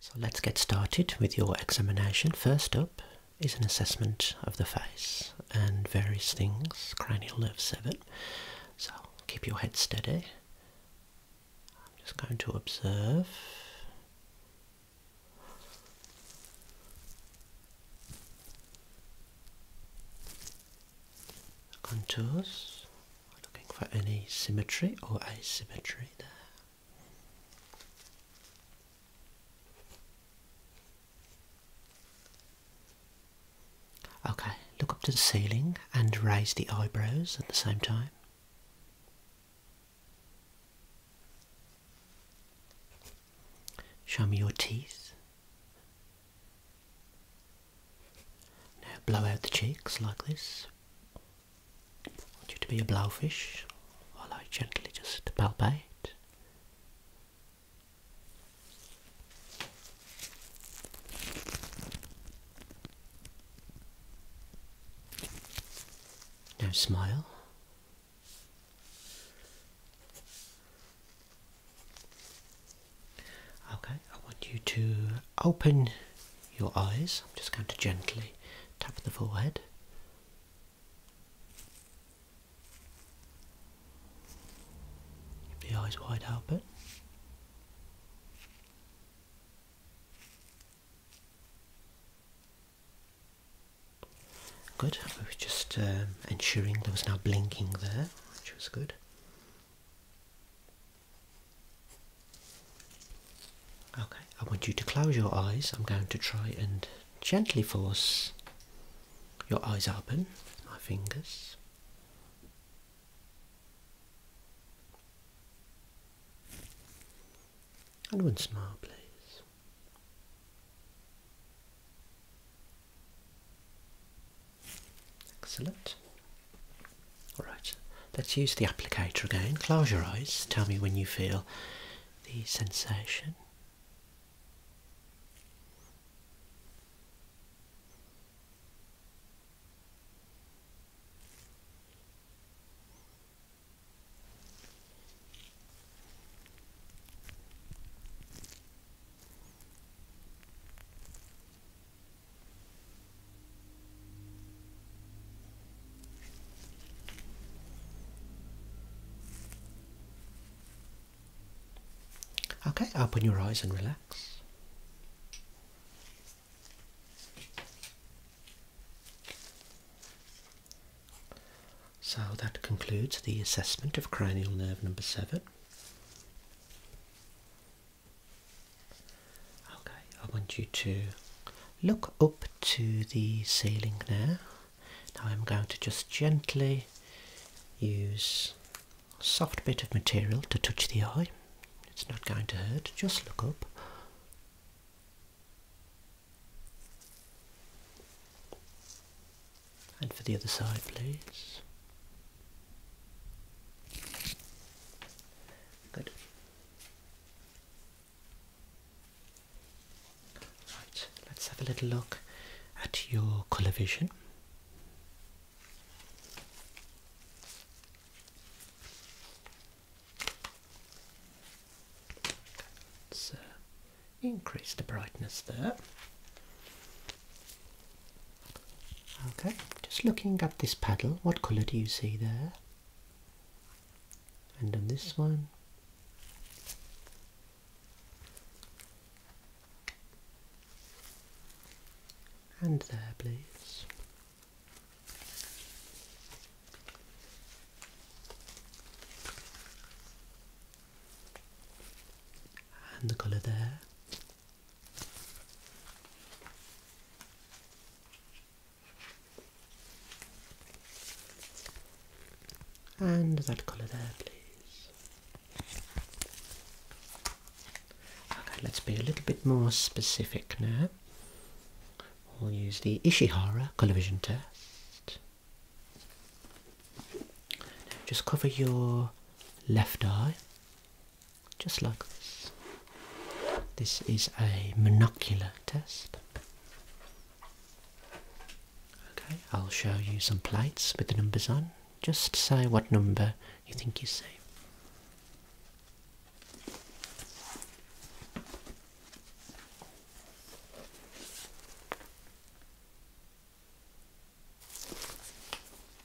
So let's get started with your examination. First up is an assessment of the face and various things, cranial nerve 7. So keep your head steady. I'm just going to observe. Contours, looking for any symmetry or asymmetry there. Okay, look up to the ceiling and raise the eyebrows at the same time. Show me your teeth. Now blow out the cheeks like this. I want you to be a blowfish while I gently just palpate. Now smile. Okay, I want you to open your eyes. I'm just going to gently tap the forehead. Give the eyes wide open. Good. I was just um, ensuring there was no blinking there, which was good. Okay, I want you to close your eyes. I'm going to try and gently force your eyes open with my fingers. And one smile, please. Excellent. Alright, let's use the applicator again. Close your eyes, tell me when you feel the sensation. Okay, open your eyes and relax. So that concludes the assessment of cranial nerve number seven. Okay, I want you to look up to the ceiling there. Now I'm going to just gently use a soft bit of material to touch the eye. It's not going to hurt, just look up. And for the other side, please. Good. Right, let's have a little look at your colour vision. let uh, increase the brightness there. Okay, just looking at this paddle, what colour do you see there? And on this one? And there, please. And the colour there. And that colour there, please. Okay, let's be a little bit more specific now. We'll use the Ishihara colour vision test. just cover your left eye just like this. This is a monocular test. Okay, I'll show you some plates with the numbers on. Just say what number you think you see.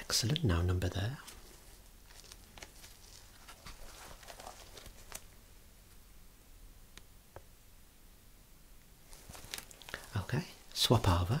Excellent now number there. Okay, swap over.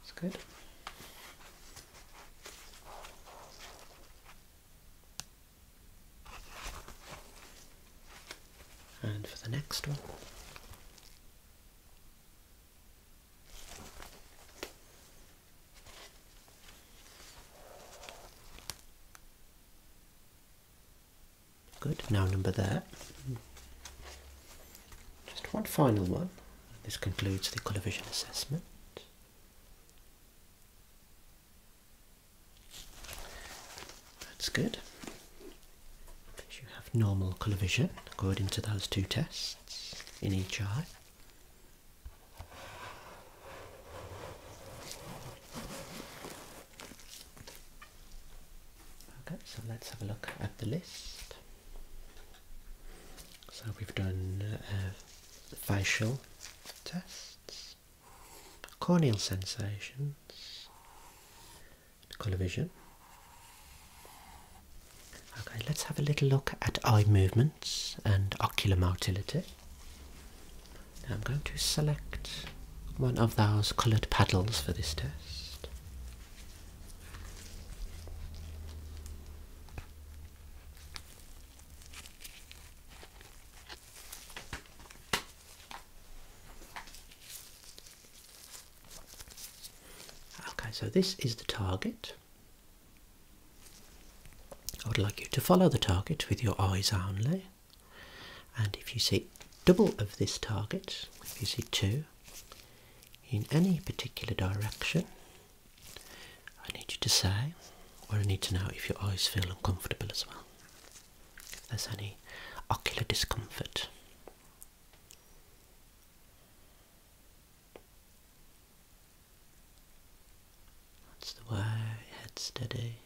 It's good. And for the next one, good. Now number there. Just one final one. This concludes the colour vision assessment. That's good. you have normal colour vision according to those two tests in each eye. Okay, so let's have a look at the list. So we've done uh, facial tests, corneal sensations, colour vision. Okay, let's have a little look at eye movements and ocular motility. I'm going to select one of those coloured paddles for this test. Okay, so this is the target. I would like you to follow the target with your eyes only. And if you see double of this target, if you see two, in any particular direction, I need you to say, or I need to know if your eyes feel uncomfortable as well. If there's any ocular discomfort. That's the way, head steady.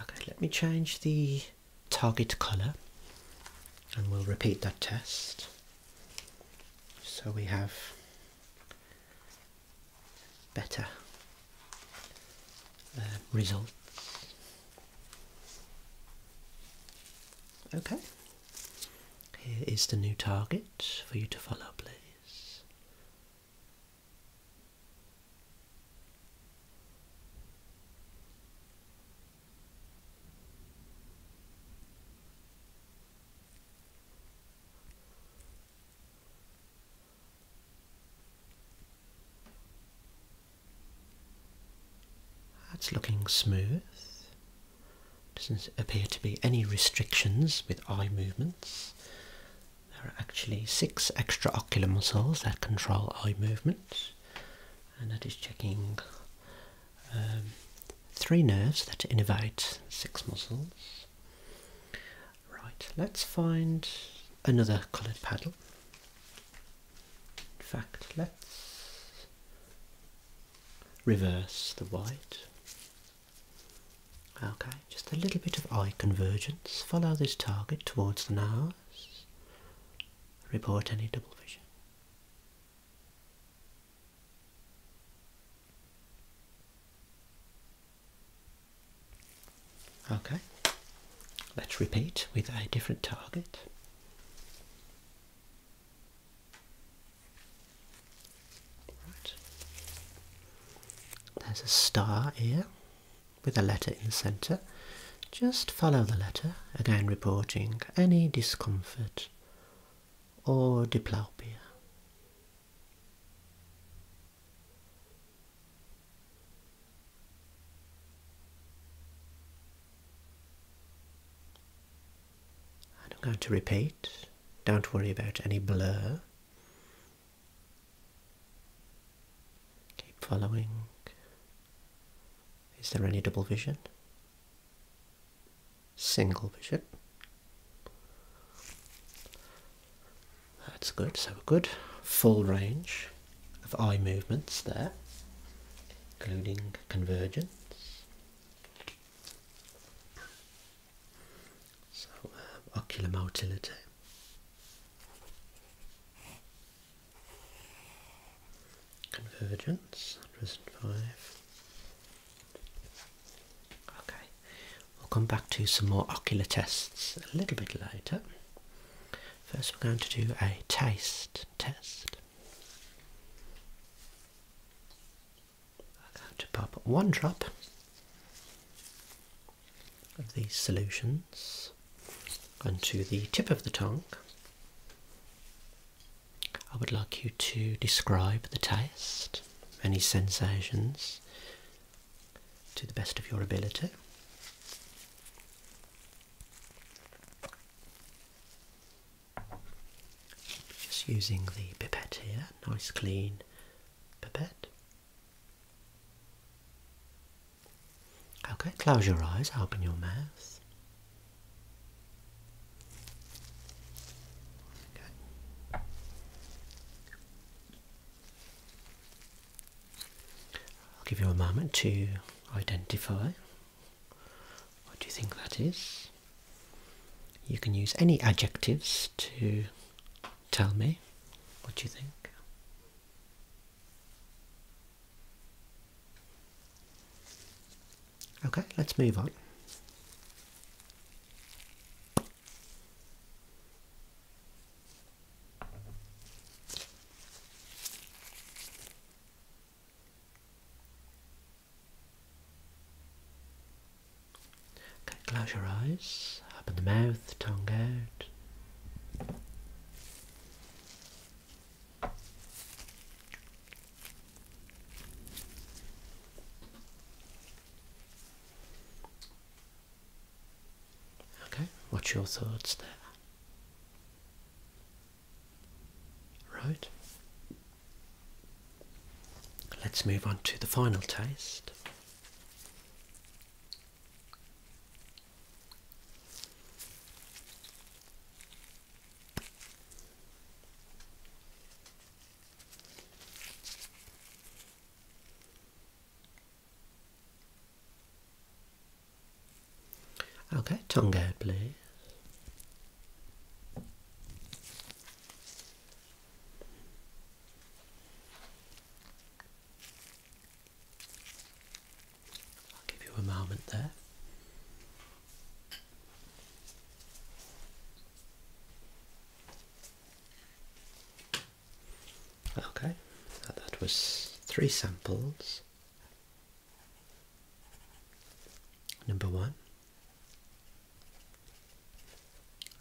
Okay, let me change the target colour and we'll repeat that test. So we have better uh, results. Okay, here is the new target for you to follow, please. That's looking smooth. Doesn't appear to be any restrictions with eye movements. There are actually six extraocular muscles that control eye movements, and that is checking um, three nerves that innervate six muscles. Right, let's find another coloured paddle. In fact, let's reverse the white. Okay, just a little bit of eye convergence. Follow this target towards the nose. Report any double vision. Okay, let's repeat with a different target. Right. There's a star here with a letter in the centre. Just follow the letter, again reporting any discomfort or diplopia. I am going to repeat. Don't worry about any blur. Keep following. Is there any double vision? Single vision. That's good, so a good full range of eye movements there, including convergence. So, um, ocular motility. Convergence, Present five. Okay, we'll come back to some more ocular tests a little bit later. First, we're going to do a taste test. I'm going to pop one drop of these solutions onto the tip of the tongue. I would like you to describe the taste, any sensations to the best of your ability. Just using the pipette here, nice clean pipette. Okay, close your eyes, open your mouth. I'll give you a moment to identify what do you think that is. You can use any adjectives to tell me what do you think. Okay, let's move on close your eyes, open the mouth, tongue out. Okay, what's your thoughts there? Right. Let's move on to the final taste. Okay, tongue out, please. I'll give you a moment there. Okay, that was three samples. Number one,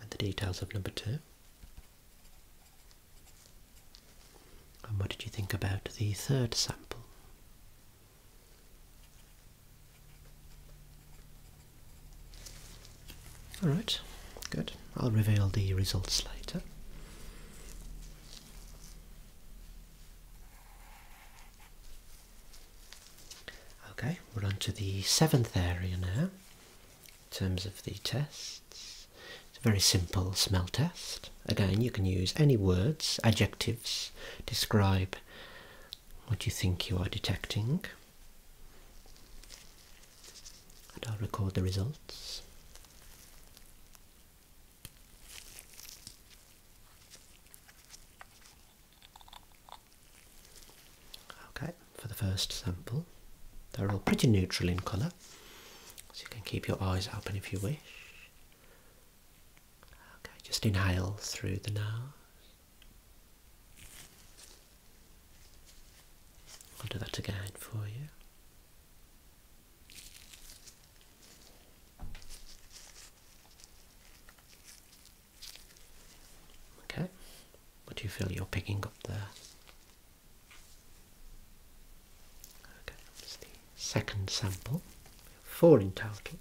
and the details of number two. And what did you think about the third sample? Alright, good. I'll reveal the results later. Okay, we're on to the seventh area now, in terms of the tests. It's a very simple smell test. Again, you can use any words, adjectives, describe what you think you are detecting and I'll record the results. Okay, for the first sample, they're all pretty neutral in colour, so you can keep your eyes open if you wish. Okay, just inhale through the nose. I'll do that again for you. Okay, what do you feel you're picking up there? Okay, that's the second sample, four in total.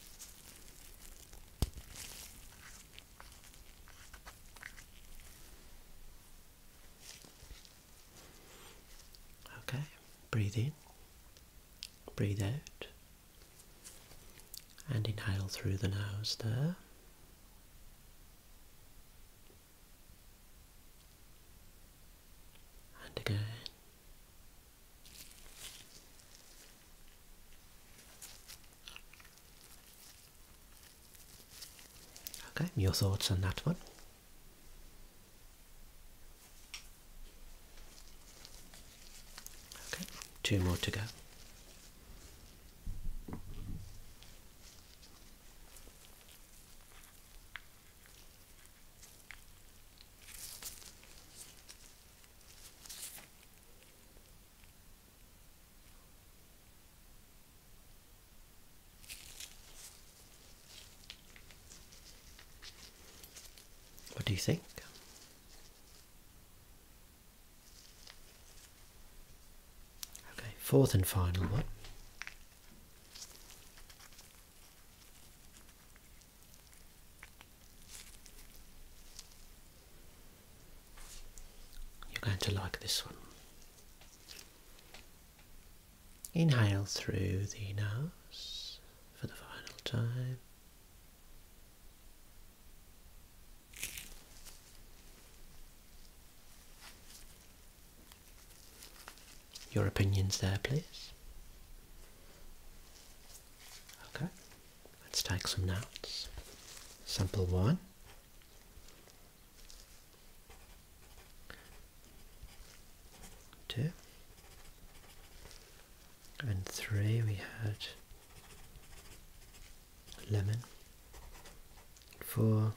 Okay, breathe in, breathe out, and inhale through the nose there. And again, Okay, your thoughts on that one? Okay, two more to go. What do you think? Okay, fourth and final one. You're going to like this one. Inhale through the nose for the final time. Your opinions there, please. Okay. Let's take some notes. Sample one. Two. And three we had lemon. Four.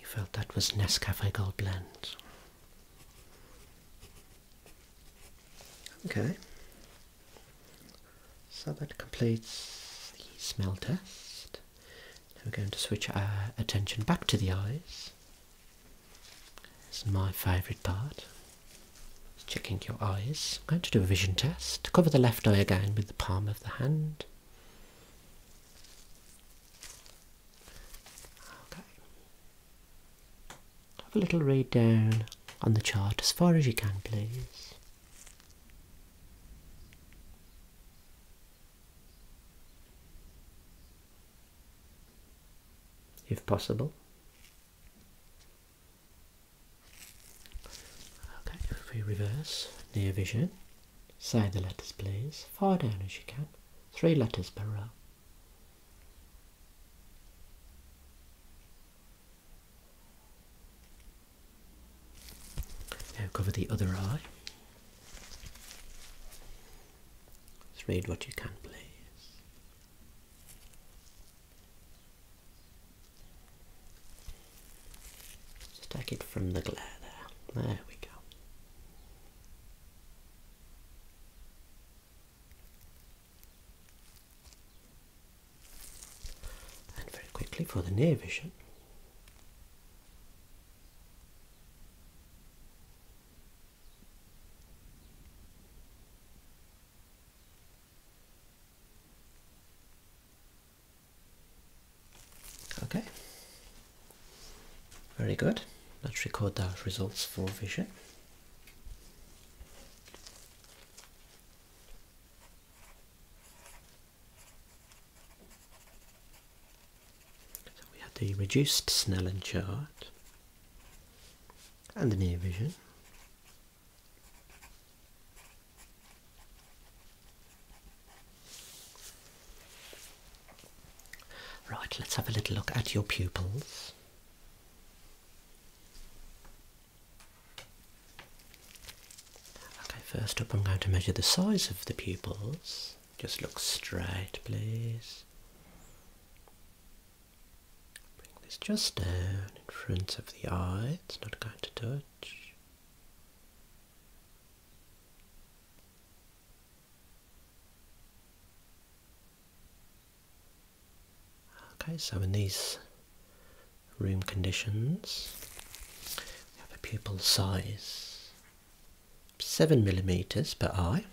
You felt that was Nescafe Gold Blend. Okay. So that completes the smell test. we're going to switch our attention back to the eyes. This is my favourite part. Checking your eyes. I'm going to do a vision test. Cover the left eye again with the palm of the hand. Okay. Have a little read down on the chart as far as you can, please. If possible. Okay, if we reverse, near vision, say the letters please, far down as you can, three letters per row. Now cover the other eye. Just read what you can, please. Stack it from the glare there. There we go. And very quickly for the near vision. Okay, very good. Let's record the results for vision. So we had the reduced Snellen chart and the near vision. Right, let's have a little look at your pupils. Okay, first up I'm going to measure the size of the pupils. Just look straight, please. Bring this just down in front of the eye, it's not going to touch. Okay, so in these room conditions, we have a pupil size 7 millimeters per eye.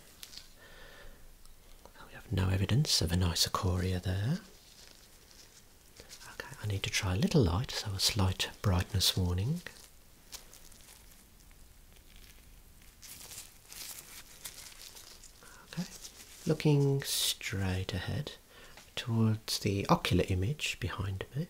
We have no evidence of an isochoria there. Okay, I need to try a little light, so a slight brightness warning. Okay, looking straight ahead towards the ocular image behind me.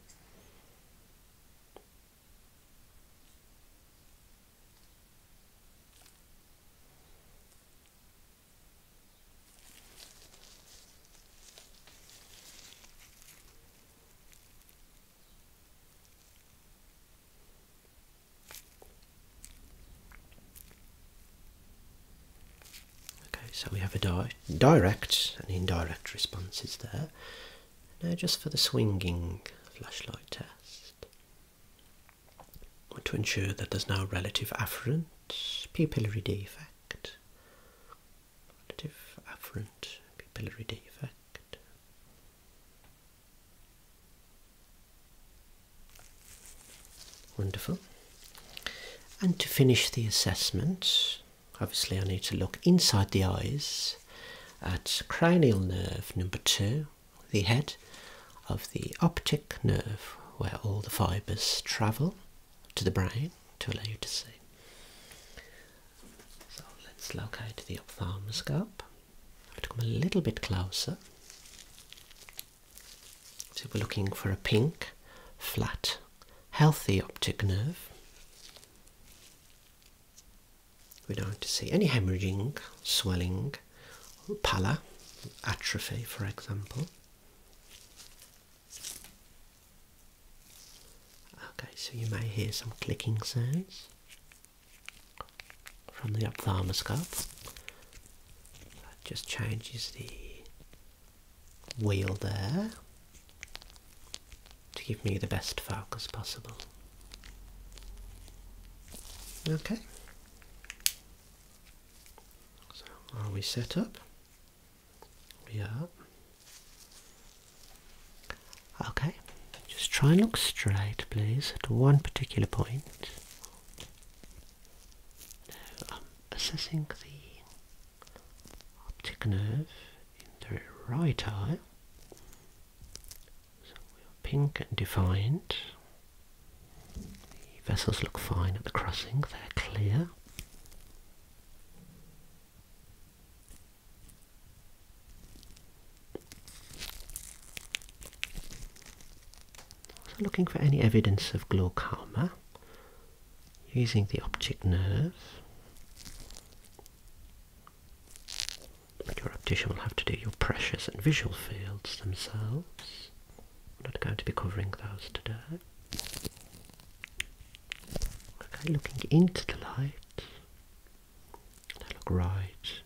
Okay, so we have a direct and indirect responses there. Now, just for the swinging flashlight test, to ensure that there's no relative afferent pupillary defect, relative afferent pupillary defect. Wonderful. And to finish the assessment, obviously I need to look inside the eyes at cranial nerve number two, the head of the optic nerve where all the fibres travel to the brain to allow you to see. So let's locate the ophthalmoscope. I'll come a little bit closer. So we're looking for a pink, flat, healthy optic nerve. We don't want to see any hemorrhaging, swelling, pallor, atrophy, for example. Okay, so you may hear some clicking sounds from the ophthalmoscope. That just changes the wheel there to give me the best focus possible. Okay. So are we set up? We are. Okay, just try and look straight, please, at one particular point. assessing the optic nerve in the right eye. So we're pink and defined. The vessels look fine at the crossing, they're clear looking for any evidence of glaucoma using the optic nerve. Your optician will have to do your pressures and visual fields themselves. We're not going to be covering those today. Okay, looking into the light look right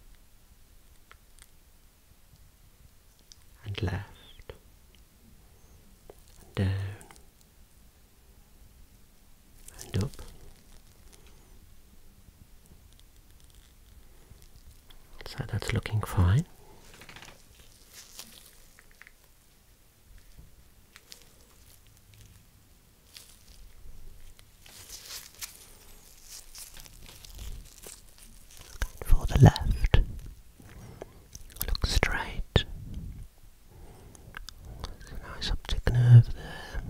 and left down and up. So that's looking fine for the left. Look straight. There's a nice optic nerve there.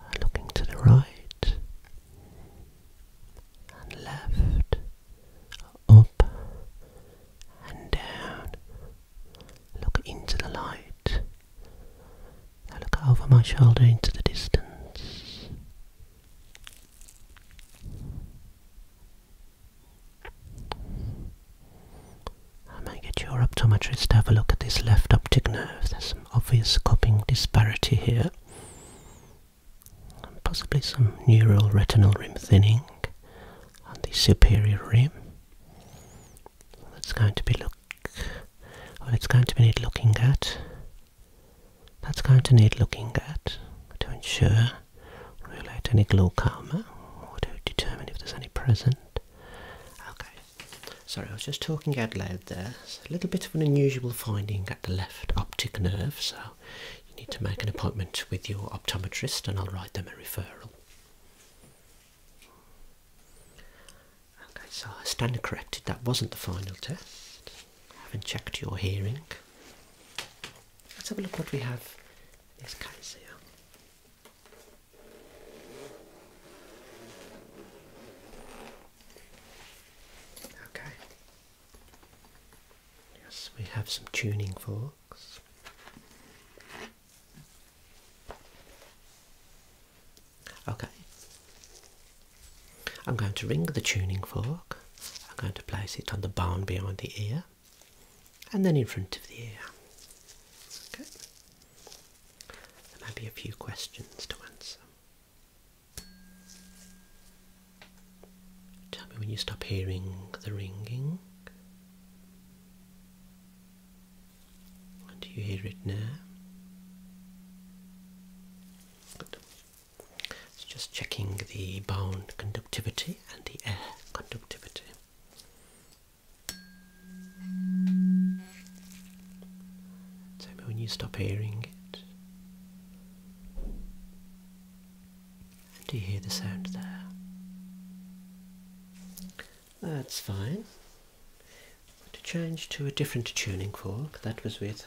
Uh, looking to the right and left, up and down. Look into the light. Now look over my shoulder into the distance. I may get your optometrist to have a look at this left optic nerve. There's some obvious copying disparity here. And possibly some neural retinal rim thinning on the superior rim that's going to be look well it's going to need looking at that's going to need looking at to ensure relate any glaucoma or to determine if there's any present. Okay. Sorry, I was just talking out loud there. a little bit of an unusual finding at the left optic nerve, so you need to make an appointment with your optometrist and I'll write them a referral. Okay, so standard corrected. That wasn't the final test. I haven't checked your hearing. Let's have a look what we have this case here. Okay. Yes, we have some tuning forks. Okay. I'm going to ring the tuning fork. I'm going to place it on the bone behind the ear and then in front of the ear. Okay. There may be a few questions to answer. Tell me when you stop hearing the ringing. And do you hear it now? It's just checking the bound conductivity and the air conductivity. Tell me when you stop hearing it. do you hear the sound there? That's fine. To change to a different tuning fork, that was with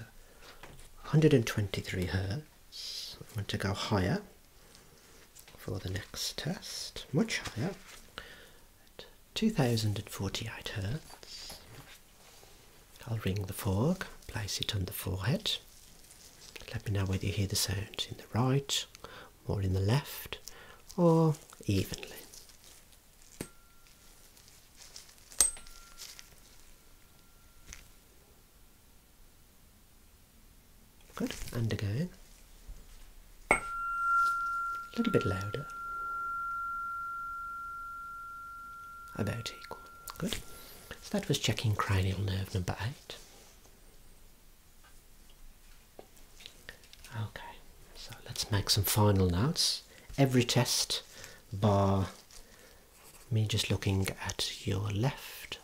123 hertz. I want to go higher for the next test, much higher, at 2048 hertz. I'll ring the fork, place it on the forehead. Let me know whether you hear the sound in the right more in the left or evenly. Good, and again. A little bit louder. About equal. Good. So that was checking cranial nerve number eight. Okay, so let's make some final notes. Every test, bar me just looking at your left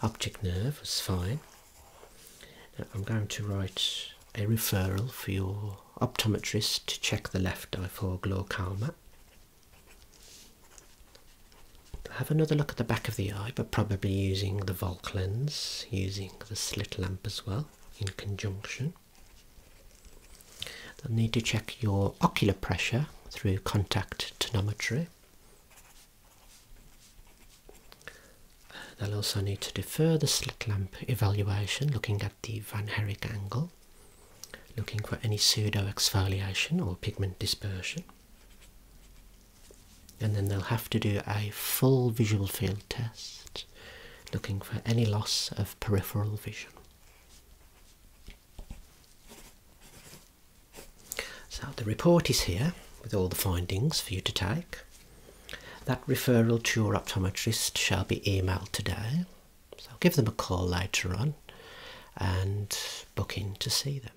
optic nerve, is fine. I'm going to write a referral for your optometrist to check the left eye for glaucoma have another look at the back of the eye, but probably using the Volk lens, using the slit lamp as well in conjunction. They'll need to check your ocular pressure through contact tonometry. They'll also need to defer the slit lamp evaluation, looking at the Van Herrick angle, looking for any pseudo exfoliation or pigment dispersion and then they'll have to do a full visual field test looking for any loss of peripheral vision. So the report is here with all the findings for you to take. That referral to your optometrist shall be emailed today. So give them a call later on and booking to see them.